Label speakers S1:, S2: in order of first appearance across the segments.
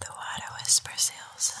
S1: The water whispers Elsa.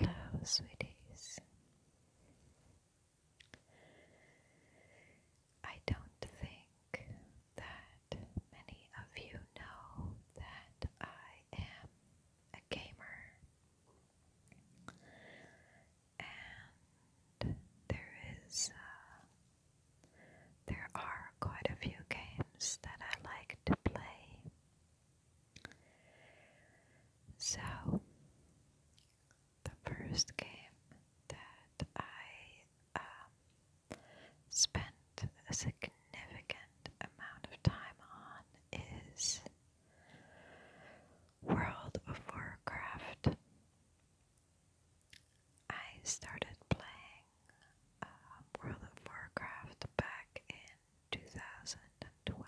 S1: Hello, sweeties. I don't think that many of you know that I am a gamer and there is uh, there are quite a few games that I like to play. So the first game that I um, spent a significant amount of time on is World of Warcraft. I started playing uh, World of Warcraft back in 2012.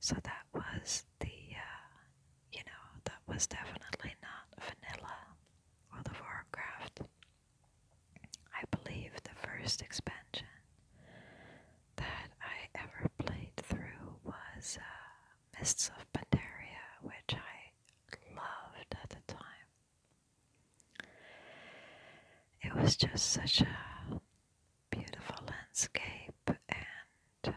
S1: So that was the, uh, you know, that was definitely not vanilla World of Warcraft. I believe the first expansion that I ever played through was uh, Mists of Pandaria, which I loved at the time. It was just such a beautiful landscape, and uh,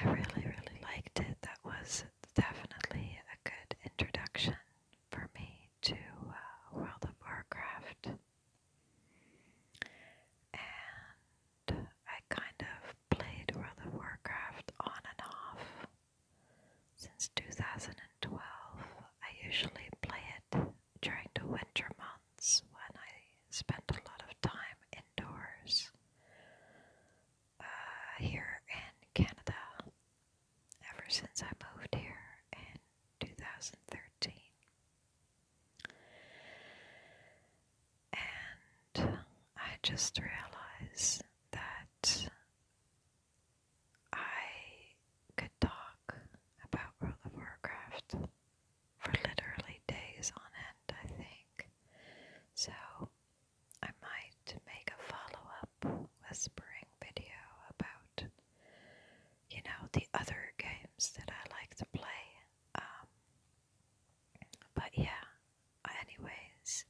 S1: I really, really liked it. That was definitely a good introduction for me to uh, World of Warcraft. And I kind of played World of Warcraft on and off since 2012. I usually play it during the winter months when I spend a lot of time indoors uh, here in Canada ever since I moved here in 2013. And I just realized that I could talk about World of Warcraft for literally days on end, I think. So I might make a follow up whispering video about, you know, the other games that I like to play um, but yeah, anyways,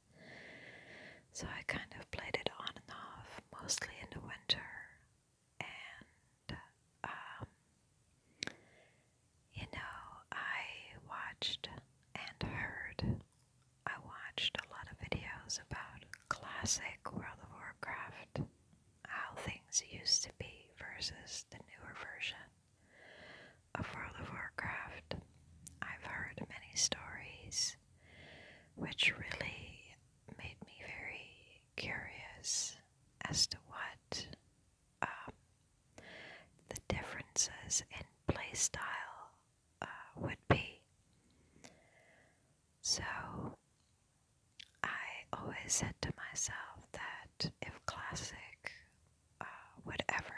S1: so I kind of played it on and off, mostly in the winter, and um, you know, I watched and heard. I watched a lot of videos about classic World of Warcraft how things used to be versus the newer version of World of Warcraft. I've heard many stories which really made me very curious as to what um, the differences in play style uh, would be. So I always said to myself that if classic uh, would ever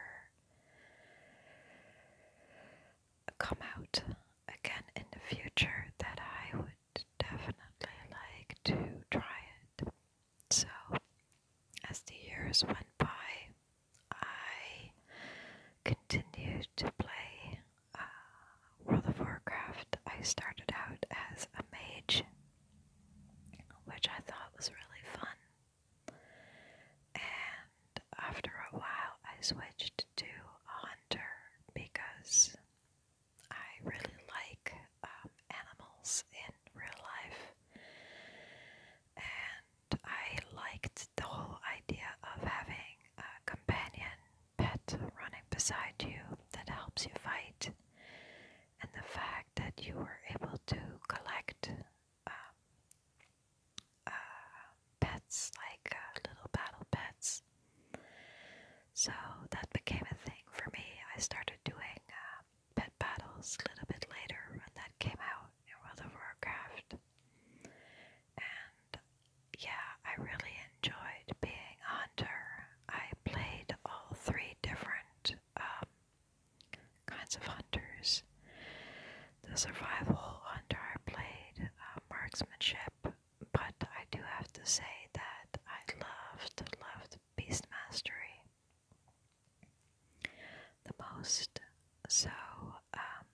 S1: come out again in the future, that I would definitely like to try it. So, as the years went by, I continued to play uh, World of Warcraft. I started out as a mage which I thought was really fun. And after a while, I switched to a hunter because I really like um, animals in real life. And I liked the whole idea of having a companion pet running beside you that helps you fight and the fact that you were able to collect um, uh, pets like uh, little battle pets. So that became a thing for me. I started doing uh, pet battles a little bit later when that came out in World of Warcraft. And yeah, I really enjoyed being a hunter I played all three different um, kinds of hunters. The survival hunter I played, uh, marksmanship, but I do have to say that I loved, loved beast mastery the most. So um,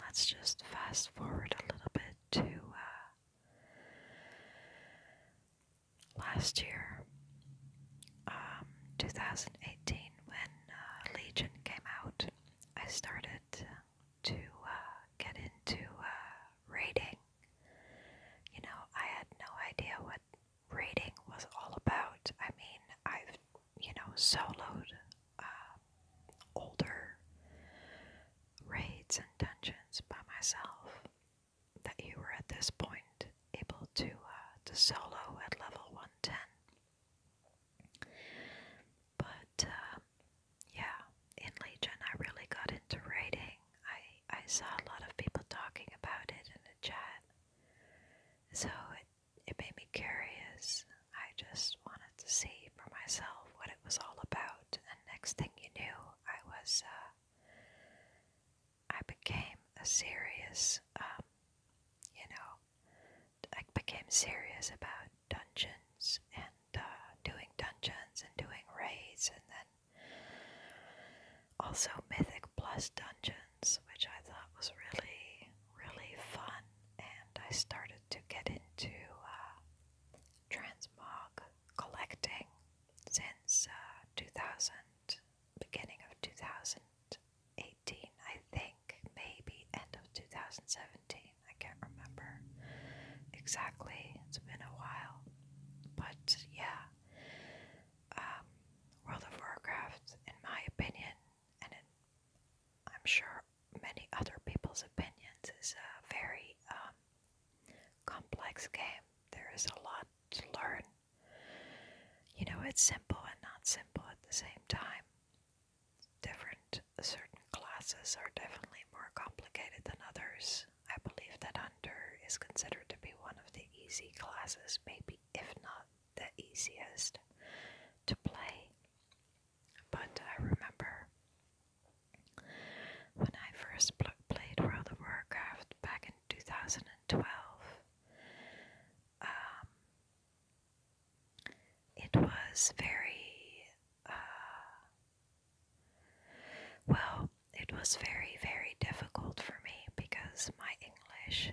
S1: let's just fast forward a little bit to. Uh, last year, um, 2018, when uh, Legion came out, I started to uh, get into uh, You know, I had no idea what raiding was all about. I mean, I've, you know, soloed uh, older raids and dungeons by myself that you were at this point able to uh, to solo at level 110. But uh, yeah, in Legion, I really got into writing. I I saw a lot of people talking about it in the chat, so it it made me curious. I just wanted to see for myself what it was all about, and next thing you knew, I was. Uh, I became serious, um, you know, I became serious about dungeons and uh, doing dungeons and doing raids, and then also Mythic Plus dungeons, which I thought was really, really fun. And I started to get into uh, transmog collecting since uh, 2000, beginning of 2018, I think, maybe end of 2017. I can't remember exactly. It's been a while. But yeah, um, World of Warcraft, in my opinion, and in, I'm sure many other people's opinions, is a uh, very um, complex game. There is a lot to learn. You know, it's simple and not simple at the same time. Different, certain classes are definitely more complicated than others. I believe that Hunter is considered to be one of the easy classes, maybe if not the easiest to play. But I remember when I first played World of Warcraft back in 2012, um, it was very, uh, well, it was very, very difficult for me because my English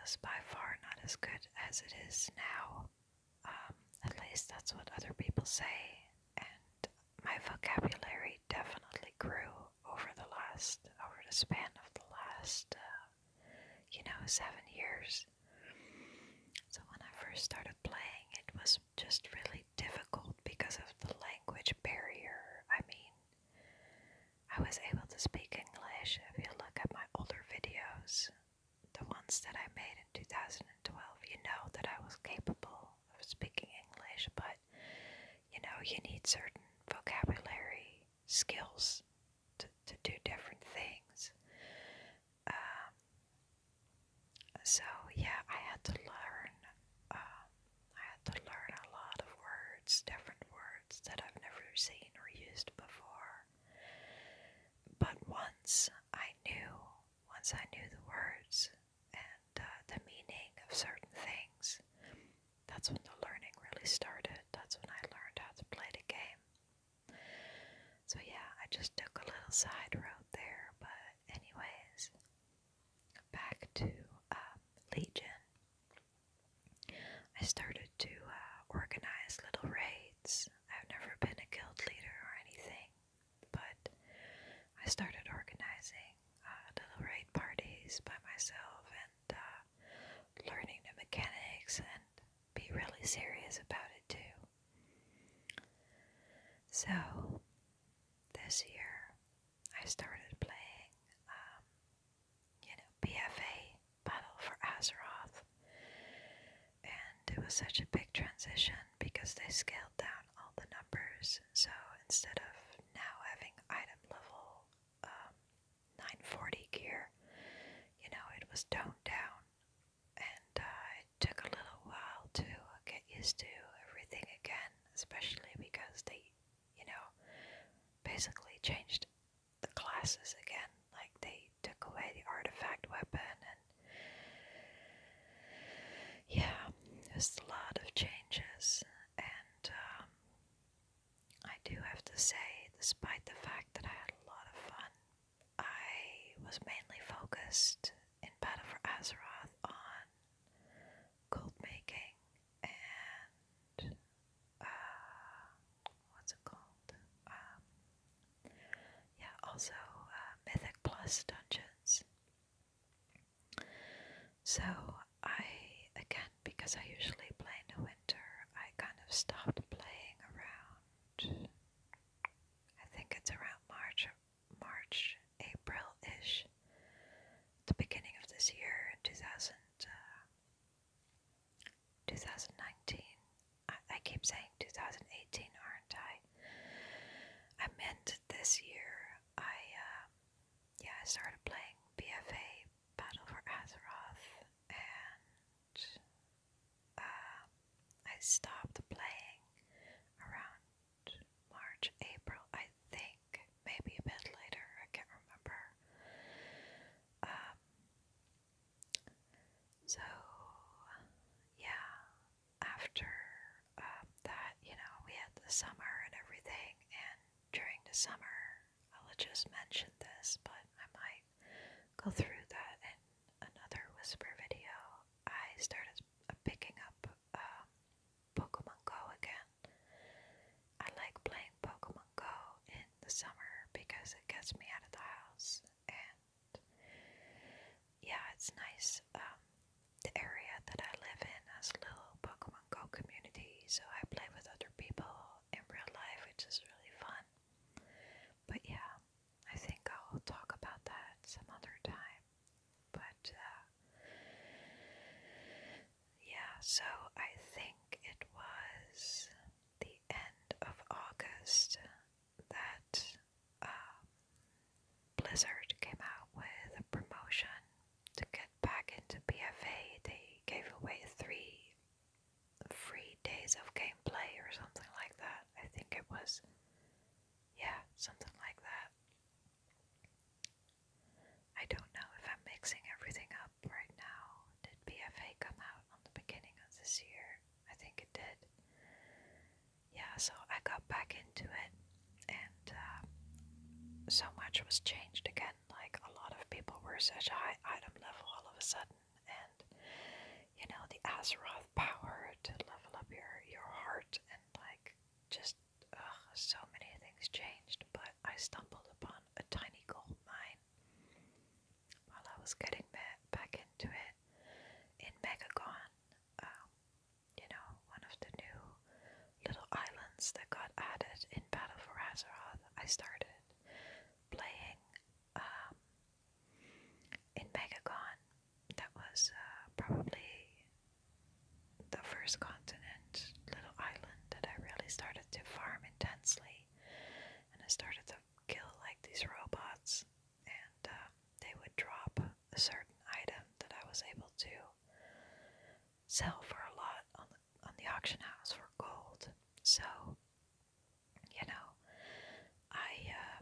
S1: was by far not as good as it is now. Um, at least that's what other people say, my vocabulary definitely grew over the last, over the span of the last, uh, you know, seven years. So when I first started playing, it was just really difficult because of the language barrier. I mean, I was able to speak English. If you look at my older videos, the ones that I made in 2012, you know that I was capable of speaking English, but you know, you need certain vocabulary skills to, to do different things. Um, so yeah, I had to learn. Um, I had to learn a lot of words, different words that I've never seen or used before. But once I knew, once I knew the words, and uh, the meaning of certain things. That's when the learning really started. That's when I learned how to play the game. So, yeah, I just took a little side road there, but, anyways, back to um, Legion. I started to uh, organize little raids. I've never been a guild leader or anything, but I started organizing uh, little raid parties by myself and uh, learning the mechanics and be really serious about it too. So this year I started playing, um, you know, BFA Battle for Azeroth, and it was such a big transition because they scaled down all the numbers. So instead of now having item level um, 940 gear, you know, it was toned down. And uh, it took a little while to get used to everything again, especially because they, you know, basically changed the classes again. Like they took away the artifact weapon and yeah, there's a lot of changes, and um, I do have to say, despite the fact that I had a lot of fun, I was mainly focused in Battle for Azeroth on gold making and uh, what's it called? Um, yeah, also uh, Mythic Plus dungeons. So I again because I usually play in the winter, I kind of stopped playing around I think it's around March March, April ish. The beginning of this year, in uh, 2019. I keep saying 2018, aren't I? I meant this year. I uh, yeah, I started playing BFA Battle for Azeroth, and uh, I stopped playing around March, April, I think, maybe a bit later. I can't remember. Um, so yeah, after um, that, you know, we had the summer and everything, and during the summer, I'll just mention this, but I might go through that in another whisper video. I started picking up um, Pokemon Go again. I like playing Pokemon Go in the summer because it gets me out of the house and yeah, it's nice. Um, the area that I live in has a little Pokemon Go community, so I play with other people in real life, which is really fun. But yeah, I think I'll talk about that some other time. But uh, yeah, so I think it was the end of August that um, Blizzard came out with a promotion to get back into BFA. They gave away three free days of gameplay or something like that. I think it was, yeah, something like that. I don't know if I'm mixing everything up right now. Did BFA come out on the beginning of this year? I think it did yeah, so I got back into it, and uh, so much was changed again. Like a lot of people were such a high item level all of a sudden, and you know the Azeroth power to level up your your heart, and like just ugh, so many things changed. But I stumbled upon a tiny gold mine while I was getting back into it in Megagon. Um, you know, one of the new little islands that got added in Battle for Azeroth, I started playing um, in Megagon. That was uh, probably the first continent, little island that I really started to farm intensely. And I started to kill like these robots, and um, they would drop a certain item that I was able to sell for a lot on on the auction house for gold. So, you know, I uh,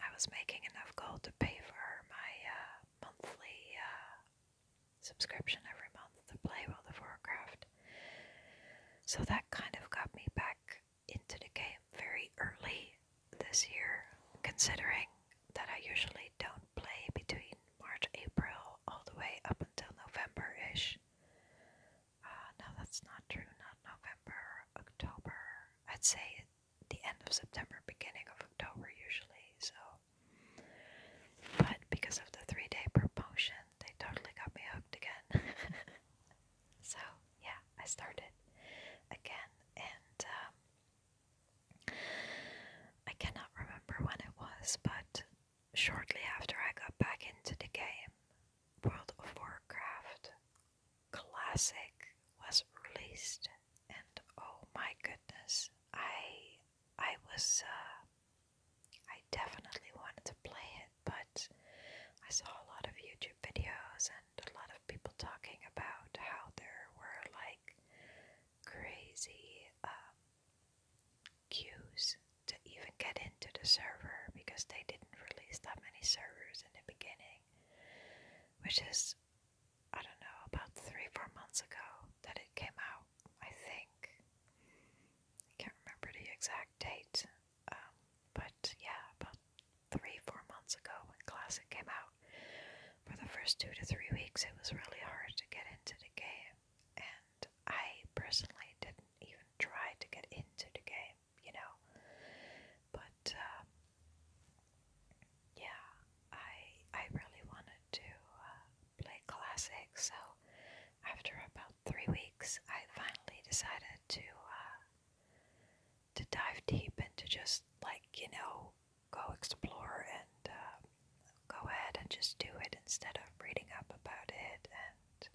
S1: I was making enough gold to pay for my uh, monthly uh, subscription every month to play World of Warcraft. So that kind of got me back into the game very early this year, considering that I usually don't play between March, April, all the way up until November ish. Uh, that's not true, not November, October. I'd say the end of September, beginning of October, usually. So, but because of the three day promotion, they totally got me hooked again. so, yeah, I started again, and um, I cannot remember when it was, but shortly after I got back into the game, World of Warcraft Classic was released, and oh my goodness, I I was uh, I definitely wanted to play it, but I saw a lot of YouTube videos and and a lot of people talking about how there were like crazy um, queues to even get into the server because they didn't release that many servers in the beginning, which is I don't know about three four months ago that it came out. I think I can't remember the exact date, um, but yeah, about three, four months ago when Classic came out. For the first two to three weeks, it was really hard to get into the game, and I personally didn't even try to get into the game, you know. But uh, yeah, I I really wanted to uh, play Classic, so after about three weeks, I finally decided to. Uh, to dive deep and to just like you know go explore and uh, go ahead and just do it instead of reading up about it and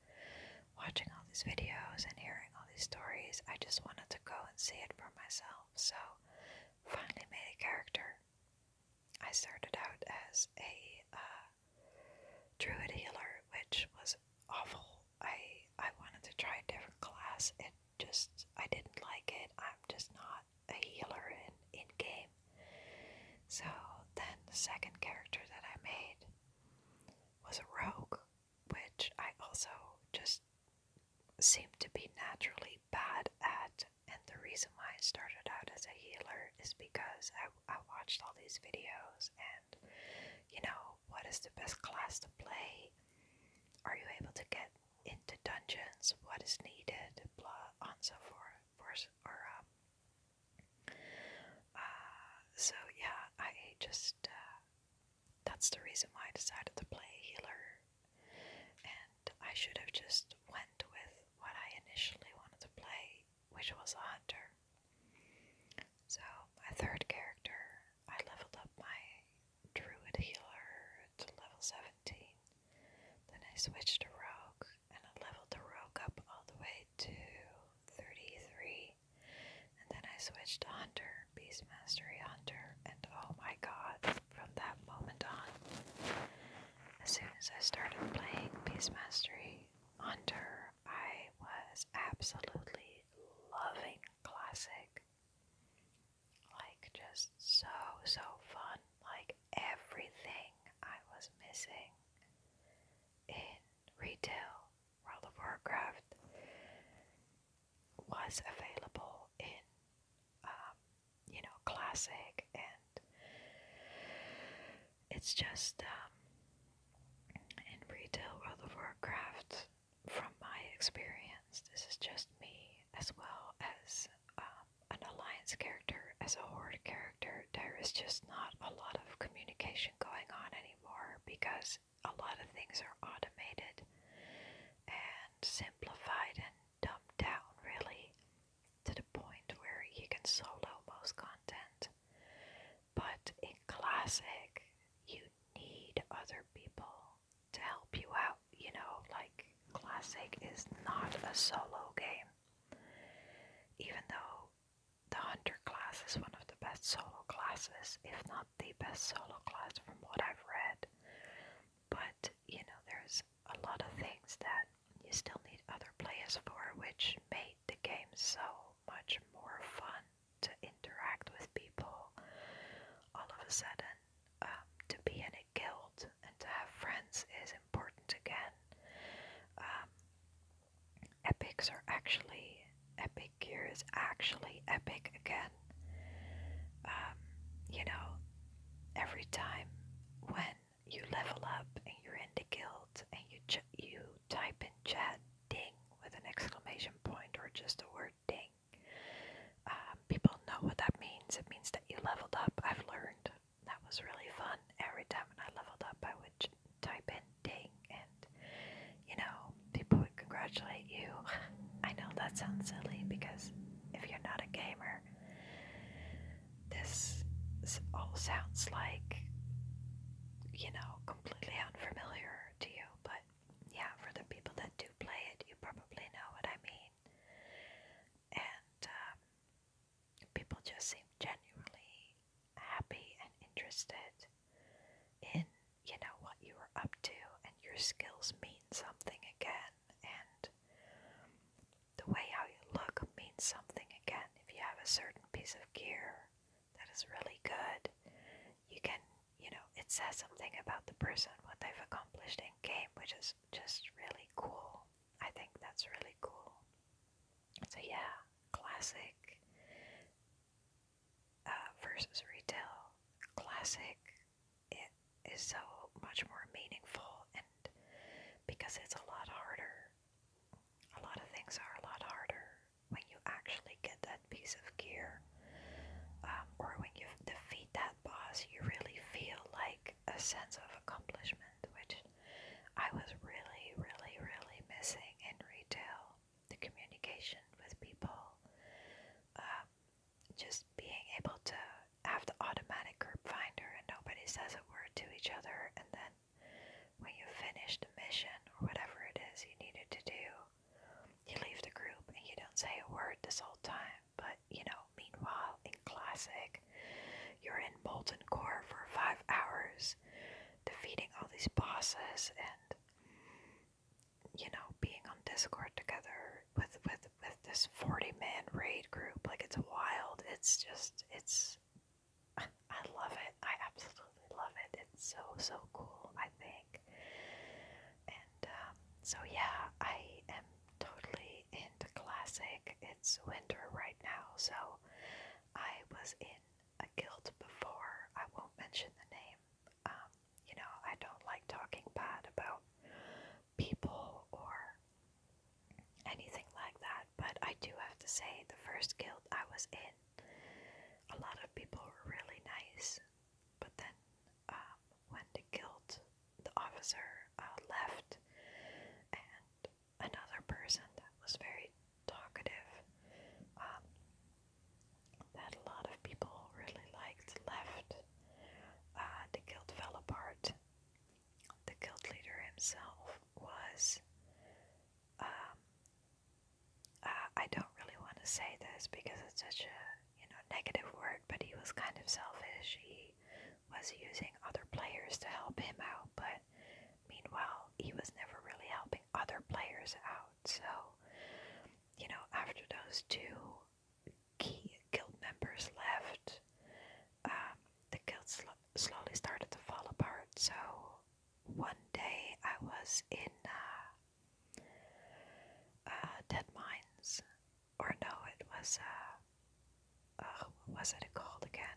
S1: watching all these videos and hearing all these stories. I just wanted to go and see it for myself. So finally made a character. I started out as a uh, druid healer, which was awful. I I wanted to try a different class just I didn't like it. I'm just not a healer in in game. So then the second character that I made was a rogue, which I also just seemed to be naturally bad at. And the reason why I started out as a healer is because I, I watched all these videos and, you know, what is the best class to play? Are you able to get into dungeons, what is needed, blah, and so forth. forth um, uh, so yeah, I just uh, that's the reason why I decided to play healer, and I should have just went with what I initially wanted to play, which was a hunter. So my third character, I leveled up my druid healer to level 17. Then I switched to rogue and I leveled the rogue up all the way to 33. And then I switched to hunter, beast mastery hunter, and oh my god, from that moment on, as soon as I started playing beast mastery hunter, I was absolutely loving classic. Like, just so, so fun. Like, everything I was missing in retail World of Warcraft was available in, um, you know, Classic, and it's just um, in retail World of Warcraft from my experience, this is just me as well as um, an alliance character, as a horde character, there is just not a lot of communication going on anymore because a lot of things are automated and simplified and dumbed down, really, to the point where you can solo most content. But in classic, you need other people to help you out. You know, like Classic is not a solo game, even though the Hunter class is one of the best solo classes, if not the best solo class from what I've read. But you know, there's a lot of things that you still need other players for, which made the game so much more fun to interact with people. All of a sudden, um, to be in a guild and to have friends is important again. Um, epics are actually epic gear is actually epic again. Um, you know, every time when you level up and you're in the guild and you you type in chat ding with an exclamation point or just the word ding um, people know what that means. It means that you leveled up. I've learned. That was really fun. Every time when I leveled up, I would type in ding, and you know, people would congratulate you. I know that sounds silly because if you're not a gamer, this all sounds like, you know, completely unfamiliar to you, but yeah, for the people that do play it, you probably know what I mean. And um, people just seem genuinely happy and interested in you know what you were up to, and your skills mean something again, and the way how you look means something again. If you have a certain piece of gear that is really good, you can, you know, it says something about the person, what they've accomplished in game, which is just really cool. I think that's really cool. So, yeah, classic uh, versus retail. Classic, it is so much more meaningful, and because it's a lot harder, a lot of things are a lot harder when you actually get that piece of gear, um, or when you defeat that boss, you really feel like a sense of accomplishment, which I was really, really, really missing in retail. The communication with people, um, just being able to have the automatic group finder and nobody says a word to each other, and then when you finish the mission or whatever it is you needed to do, you leave the group and you don't say a word this whole time, but you know, meanwhile, in classic, you're in molten core for five hours, defeating all these bosses and you know, being on Discord together with with with this forty man raid group, like it's wild. It's just it's I love it. I absolutely love it. It's so so cool, I think. And um, so, yeah, I am totally into classic. It's winter right now, so I was in a guild before. I won't mention the name. Um, you know, I don't like talking bad about people or anything like that, but I do have to say, the first guild I was in, a lot of people were really nice. But then, um, when the guild, the officer uh, left, and another person that was very talkative, um, that a lot of people really liked, left. Uh, the guild fell apart. The guild leader himself was. Um, uh, I don't really want to say this because it's such a you know, negative word, but he was kind of selfish. He was using other players to help him out, but meanwhile, he was never really helping other players out. So, you know, after those two key guild members left, um, the guild sl slowly started to fall apart. So, one day I was in uh, uh, Dead Mines, or no, it was uh, what was it called again?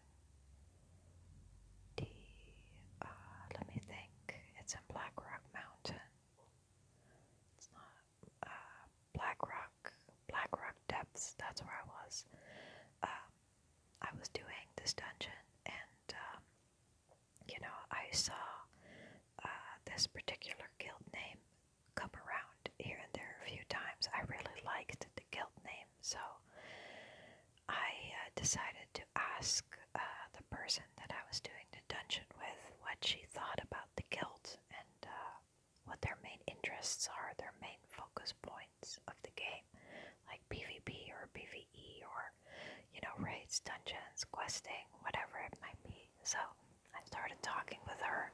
S1: The uh, let me think. It's in Black Rock Mountain. It's not uh, Black Rock. Black Rock Depths. That's where I was. Um, I was doing this dungeon, and um, you know, I saw uh, this particular guild name come around here and there a few times. I really liked the guild name, so I uh, decided to ask uh, the person that I was doing the dungeon with what she thought about the guild and uh, what their main interests are, their main focus points of the game, like PvP or PvE or, you know, raids, dungeons, questing, whatever it might be. So I started talking with her.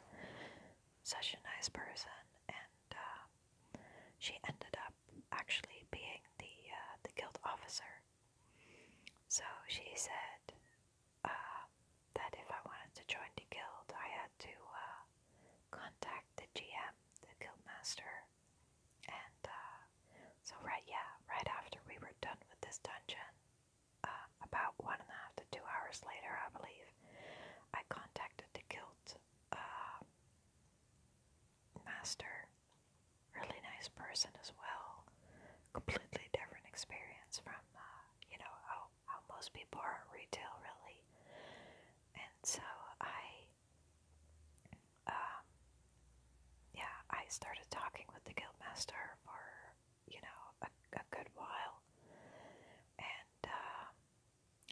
S1: Such a nice person, and uh, she ended up actually being the uh, the guild officer. So she said uh, that if I wanted to join the guild, I had to contact the GM, the guild master, and so right yeah, right after we were done with this dungeon, uh, about one and a half to two hours later, I believe, I contacted the guild uh, master. Really nice person as well. Completely different experience from uh, you know how how most people are retail really. And so I. Um, yeah, I started talking with the guild master for you know a, a good while, and uh,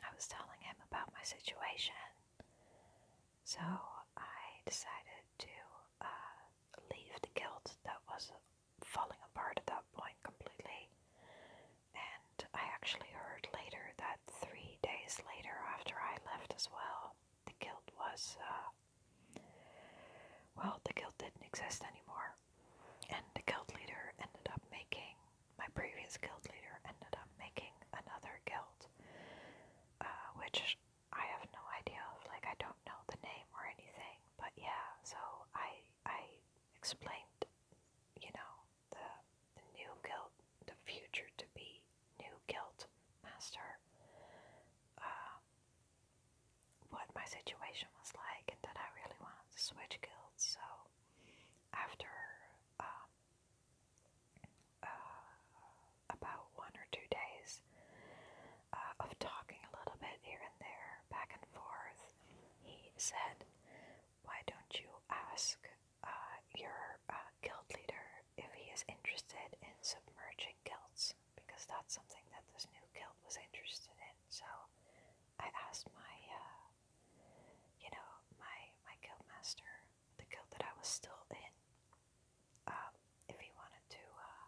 S1: I was telling him about my situation. So I decided to uh, leave the guild that was falling apart at that point completely. And I actually heard later that three days later, after I left as well, the guild was, uh, well, the guild didn't exist anymore. And the guild leader ended up making, my previous guild leader ended up making another guild, uh, which I have no idea of, like, I don't know the name or anything, but yeah, so I, I explained, you know, the, the new guild, the future to be new guild master, uh, what my situation was like and that I really wanted to switch guilds. So after um, uh, about one or two days uh, of talking a little bit here and there, back and forth, he said, "Why don't you ask uh, your guild leader if he is interested in submerging guilds?" because that's something that this new guild was interested in. So I asked my, uh, you know, my my guild master, the guild that I was still in, um, if he wanted to uh,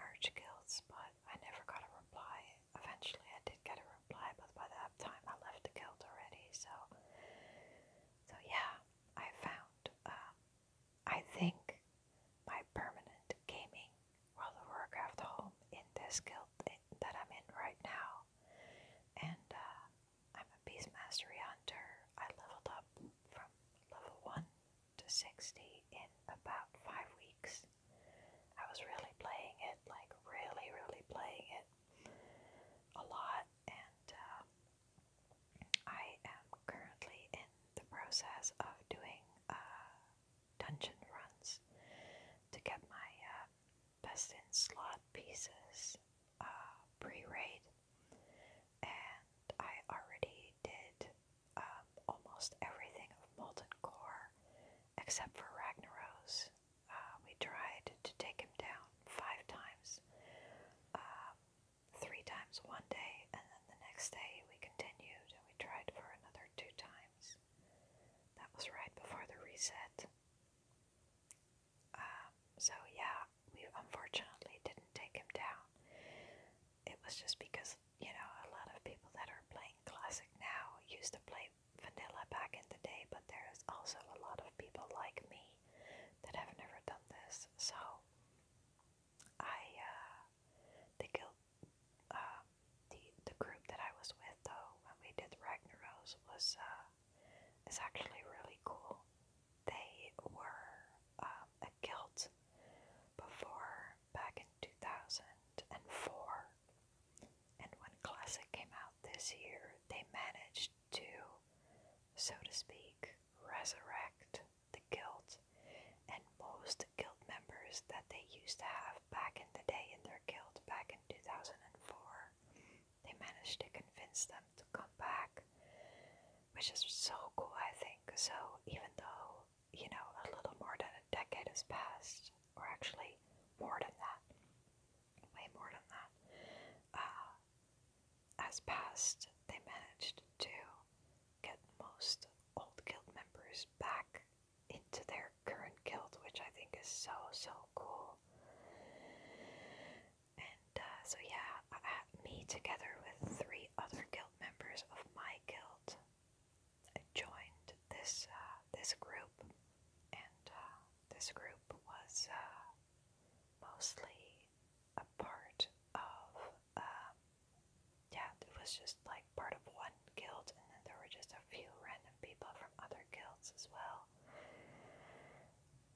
S1: merge guilds, but I never got a reply. Eventually, I did get a reply, but by that time, I left the guild already. So, so yeah, I found um, I think my permanent gaming while the Warcraft home in this guild that I'm in right now. And uh, I'm a Beast Mastery Hunter. I leveled up from level 1 to 60 in about 5 weeks. I was really playing it, like really, really playing it a lot. And uh, I am currently in the process of doing uh, dungeon runs to get my uh, best in slot pieces uh, pre raid, and I already did um, almost everything of Molten Core except for Ragnaros. we tried to take him down five times. Um, three times one day, and then the next day we continued and we tried for another two times. That was right before the reset. Um, so, yeah, we unfortunately didn't take him down. It was just because, you know, a lot of people that are playing Classic now used to play Vanilla back in the day, but there's also a lot of people like me that have never done this. So, I uh, the guild, um, the the group that I was with though when we did the Ragnaros was uh, is actually really cool. They were um, a guild before back in two thousand and four, and when Classic came out this year, they managed to, so to speak, resurrect the guild, and most guild members that they used to have back in the day in their guild back in 2004, they managed to convince them to come back, which is so cool, I think. So, even though, you know, a little more than a decade has passed, or actually more than that, way more than that, uh, as passed, they managed to get most old guild members back into their current guild, which I think is so so cool. And uh, so yeah, me together with three other guild members of my guild I joined this uh, this group, and uh, this group was uh, mostly a part of uh, yeah, it was just like part of one guild, and then there were just a few random people from other guilds as well.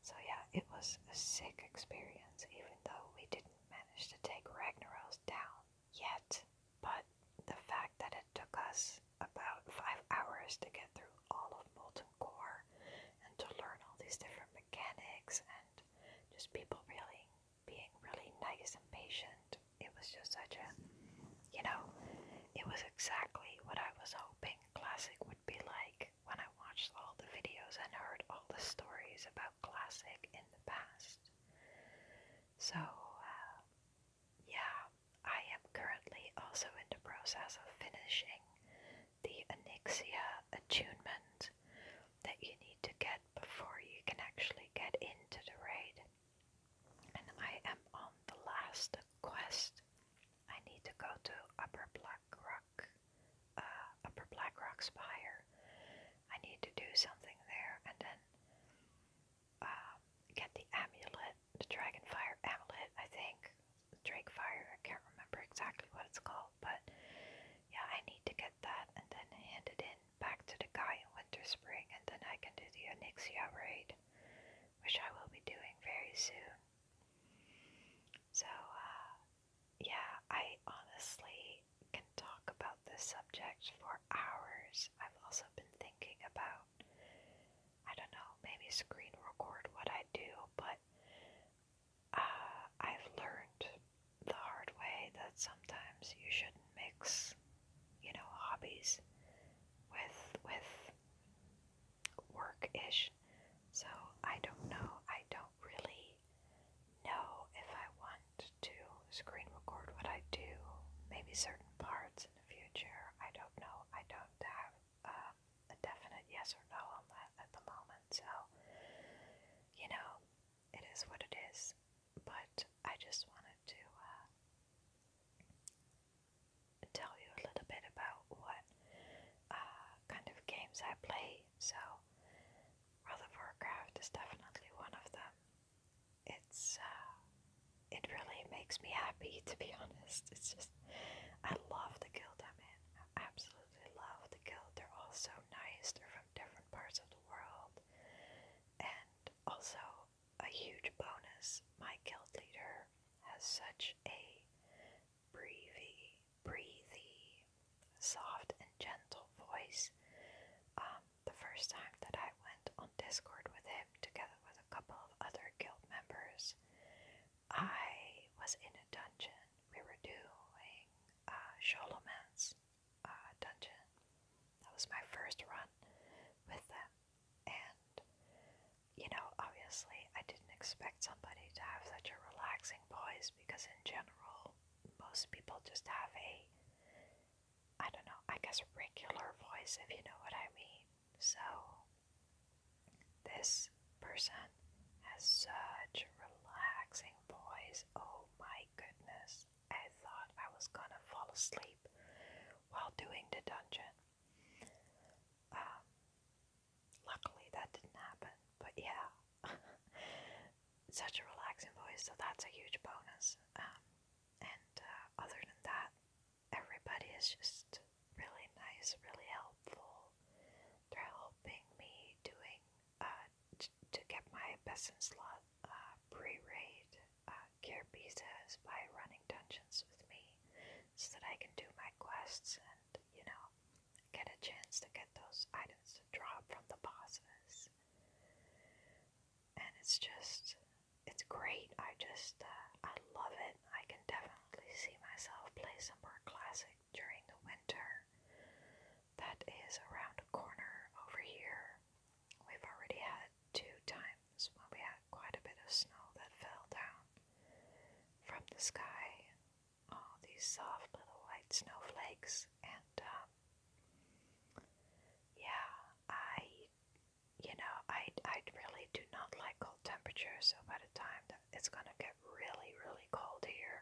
S1: So, yeah, it was a sick experience, even though we didn't manage to take Ragnaros down yet. But the fact that it took us about five hours to get through all of Molten Core and to learn all these different mechanics and just people really being really nice and patient. It was just such a, you know, it was exactly what I was hoping Classic would be like when I watched all the videos and heard all the stories about Classic in the past. So, um, yeah, I am currently also in the process of finishing the Anixia Attunement that you need to get before you can actually get into the raid. And I am on the last quest. I need to go to Upper Black Rock, uh, Upper Black Rock Spire. I need to do something there and then um, get the amulet, the Dragonfire amulet, I think. Drakefire, I can't remember exactly what it's called but yeah, I need to get that and then hand it in back to the guy in Winter Spring, and then I can do the Onyxia raid, which I will be doing very soon. So, uh, yeah, I honestly can talk about this subject for hours. I've also been thinking about, I don't know, maybe screen record what I do, but uh, I've learned the hard way that sometimes you shouldn't mix, you know, hobbies with with work ish. So I don't know. I don't really know if I want to screen record what I do. Maybe certain parts in the future. I don't know. I don't have uh, a definite yes or no on that at the moment. So you know, it is what it is. But I just wanted to uh, tell you a little bit about what uh, kind of games I play. So, World of Warcraft is definitely one of them. It's uh, it really makes me happy to be honest. It's just I love the guild I'm in. I absolutely love the guild. They're all so nice different parts of the world. And also, a huge bonus my guild leader has such a breathy, breathy, soft, and gentle voice. Um, the first time that I went on Discord with him, together with a couple of other guild members, I was in a dungeon we were doing uh, uh, dungeon. That was my first run with them, and you know, obviously, I didn't expect somebody to have such a relaxing voice because, in general, most people just have a I don't know, I guess regular voice, if you know what I mean. So, this person has such a relaxing boys, oh my goodness, I thought I was gonna fall asleep while doing the dungeon. Um, luckily that didn't happen, but yeah, such a relaxing voice, so that's a huge bonus. Um, and uh, other than that, everybody is just really nice, really helpful. helping me doing uh, to get my best in slot uh, pre-raid uh, gear pizzas by running dungeons with me so that I can do my quests and, you know, get a chance to get those items to drop from the bosses. And it's just, it's great. I just, uh, I love it. I can definitely see myself play some more classic during the winter that is around the corner over here. We've already had two times when we had quite a bit of snow that fell down from the sky. All these soft little white snowflakes, and um, yeah, I, you know, I I really do not like cold temperatures. So by the time that it's gonna get really really cold here,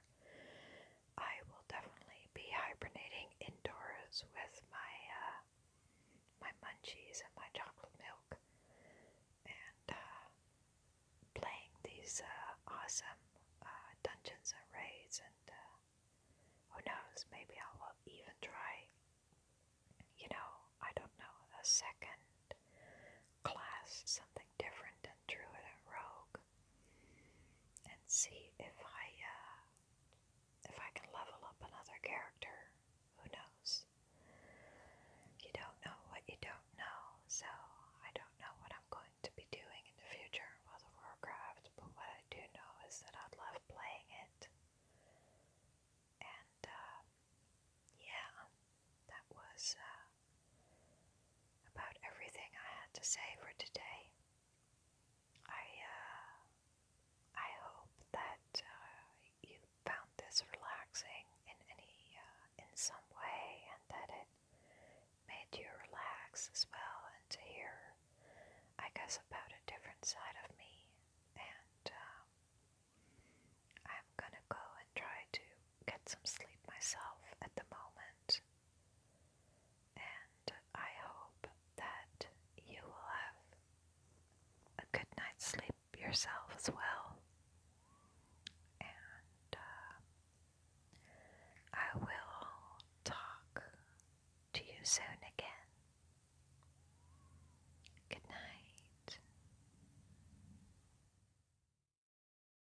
S1: I will definitely be hibernating indoors with my uh, my munchies and my chocolate milk, and uh, playing these uh, awesome dungeons and raids. And who knows? Maybe I will even try. You know, I don't know a second class, something different than druid and rogue and see if I uh, if I can level up another character. Who knows? You don't know what you don't know, so I don't know what I'm going to be doing in the future in Warcraft, but what I do know is that I love playing it. And uh, yeah, that was uh, about everything I had to say for today. I uh, I hope that uh, you found this relaxing in any uh, in some way, and that it made you relax as well, and to hear, I guess, about a different side of me. And um, I'm gonna go and try to get some sleep myself at the moment. And I hope that you will have a good night's sleep yourself as well. And uh, I will talk to you soon again. Good night.